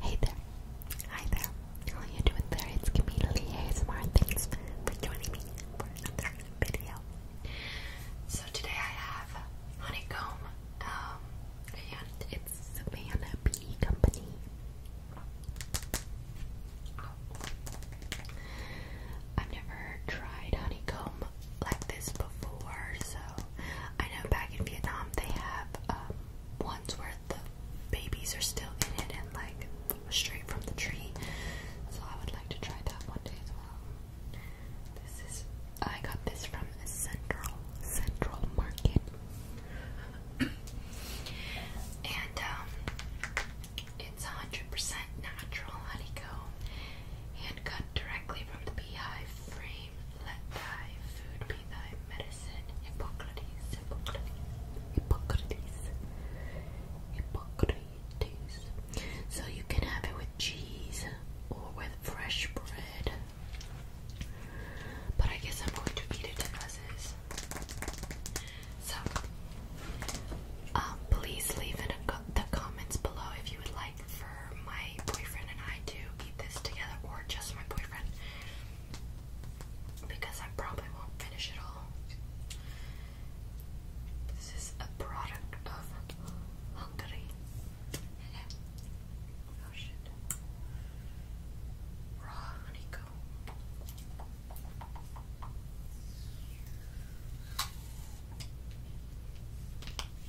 Hey there. Hi there. How you doing there? It's Camila Lee Thanks for joining me for another video. So today I have honeycomb um, and it's Savannah Bee Company. I've never tried honeycomb like this before, so I know back in Vietnam they have um, ones worth the babies are still in it and like straight from the tree. So I would like to try that one day as well. This is I got this from a Central Central Market. and um, it's 100% natural honeycomb hand cut directly from the beehive frame let thy food be thy medicine. Hippocrates, Hippocrates, Hippocrates, Hippocrates. So you can have it with cheese or with fresh bread. But I guess I'm going to eat it as is. So, um, please leave in the comments below if you would like for my boyfriend and I to eat this together, or just my boyfriend because I probably won't finish it all. This is a product of Hungary. oh shit. Raw honeycomb.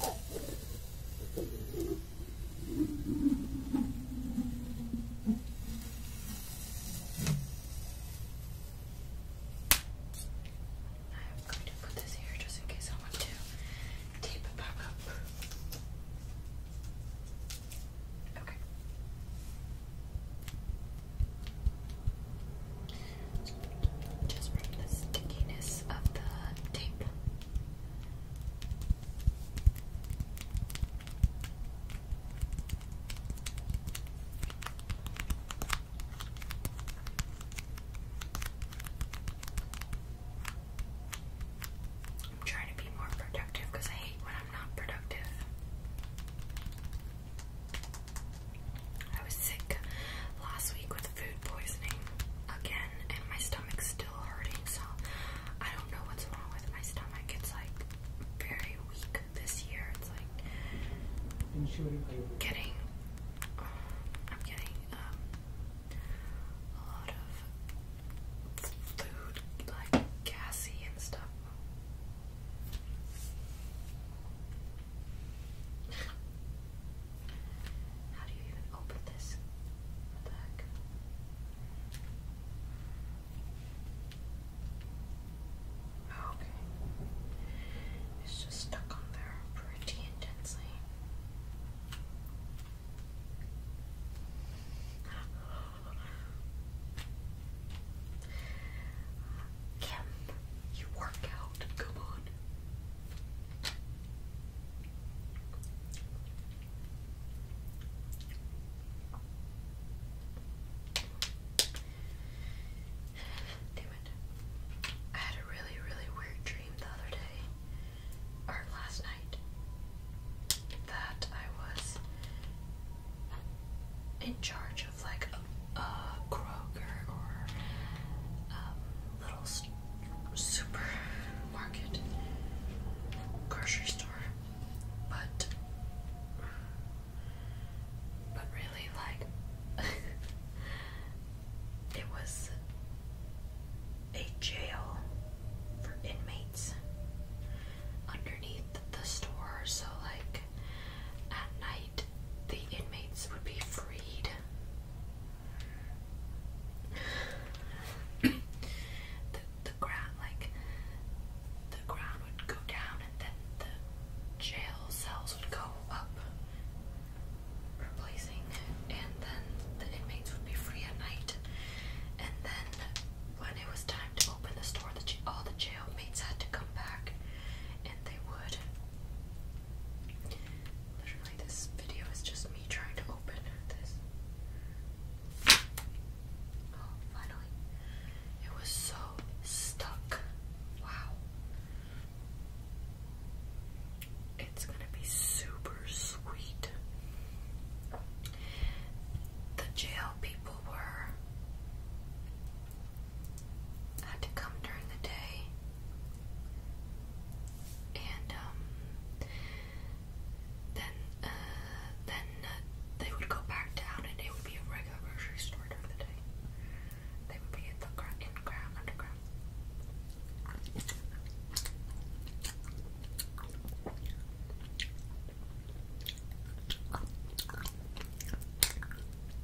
I'm going to put this here just in case I want to tape it back up. Okay just from the stickiness of the tape. I'm trying to be more productive because I hate when I'm not productive. I was sick last week with food poisoning again, and my stomach's still hurting, so I don't know what's wrong with my stomach. It's like very weak this year. It's like getting, I'm getting um, a lot of food, like gassy and stuff. How do you even open this? What oh, Okay. It's just stuck on there pretty intensely. Kim you work out, come on. Damn it. I had a really, really weird dream the other day, or last night, that I was in charge of like a, Kroger or um, little supermarket, grocery store, but but really like it was a jail for inmates underneath the store, so like at night, the inmates would be freed. the the ground like the ground would go down and then the jail cells would go up replacing and then the inmates would be free at night and then when it was time to open the store the all the jailmates had to come back, and they would. Literally, this video is just me trying to open this. Oh, finally. It was so stuck. Wow. It's gonna be super sweet. The jail people were I had to come during the day, and um, then uh, then uh, they would go back down, and it would be a regular grocery store during the day. They would be at the ground, in ground, underground.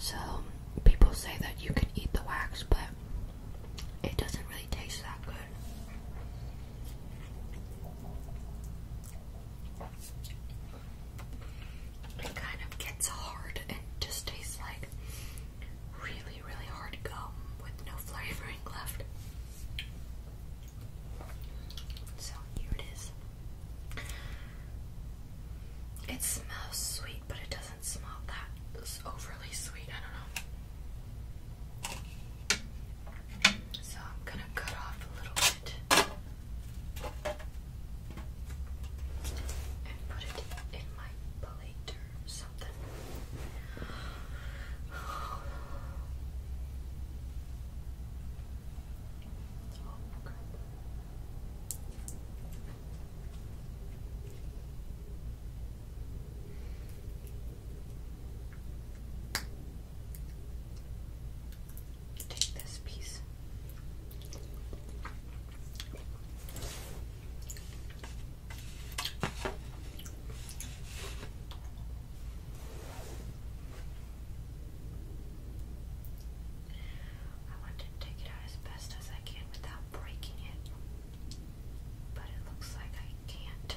So, people say that you can eat the wax, but it doesn't really taste that good. It kind of gets hard and just tastes like really, really hard gum with no flavoring left. So here it is. It smells sweet, but it doesn't smell that overly sweet. I don't know. So I'm going to cut off a little bit and put it in my plate or something. Oh, crap. Take this piece. I want to take it out as best as I can without breaking it. But it looks like I can't.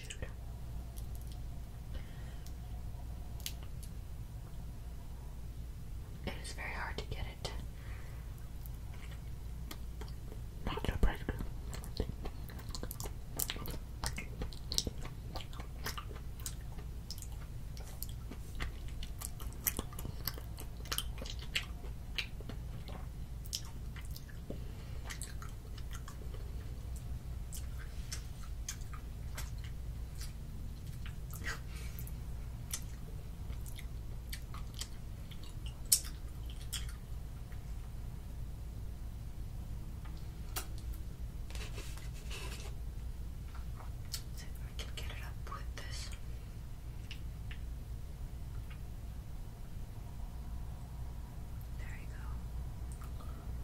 June. It is very hard to get it. Not to break So I can get it up with this. There you go.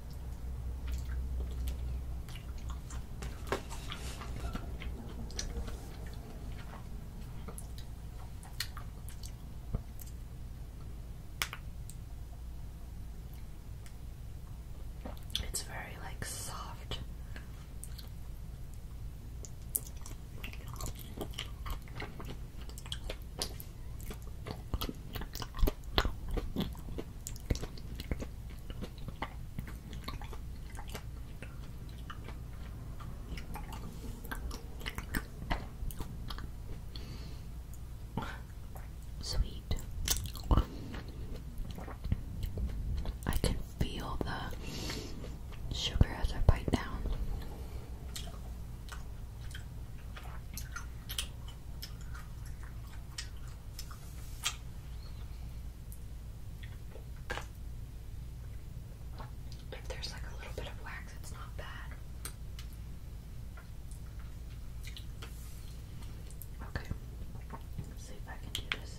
It's very like soft. Sweet. I can feel the sugar as I bite down. If there's like a little bit of wax, it's not bad. Okay, see if I can do this.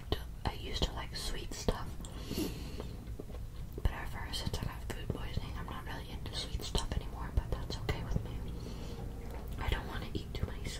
like to I used to like sweet stuff. But ever since I got food poisoning, I'm not really into sweet stuff anymore, but that's okay with me. I don't want to eat too many sweets.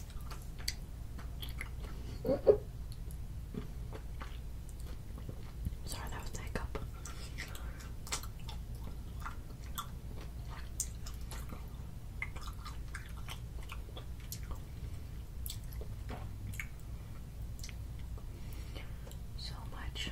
Sorry, that was that So much.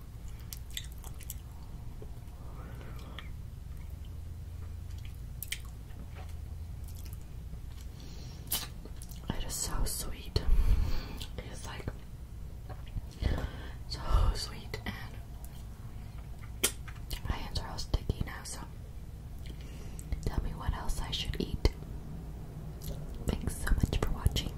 It is so sweet. It is like so sweet, and my hands are all sticky now. So, tell me what else I should eat. Thanks so much for watching.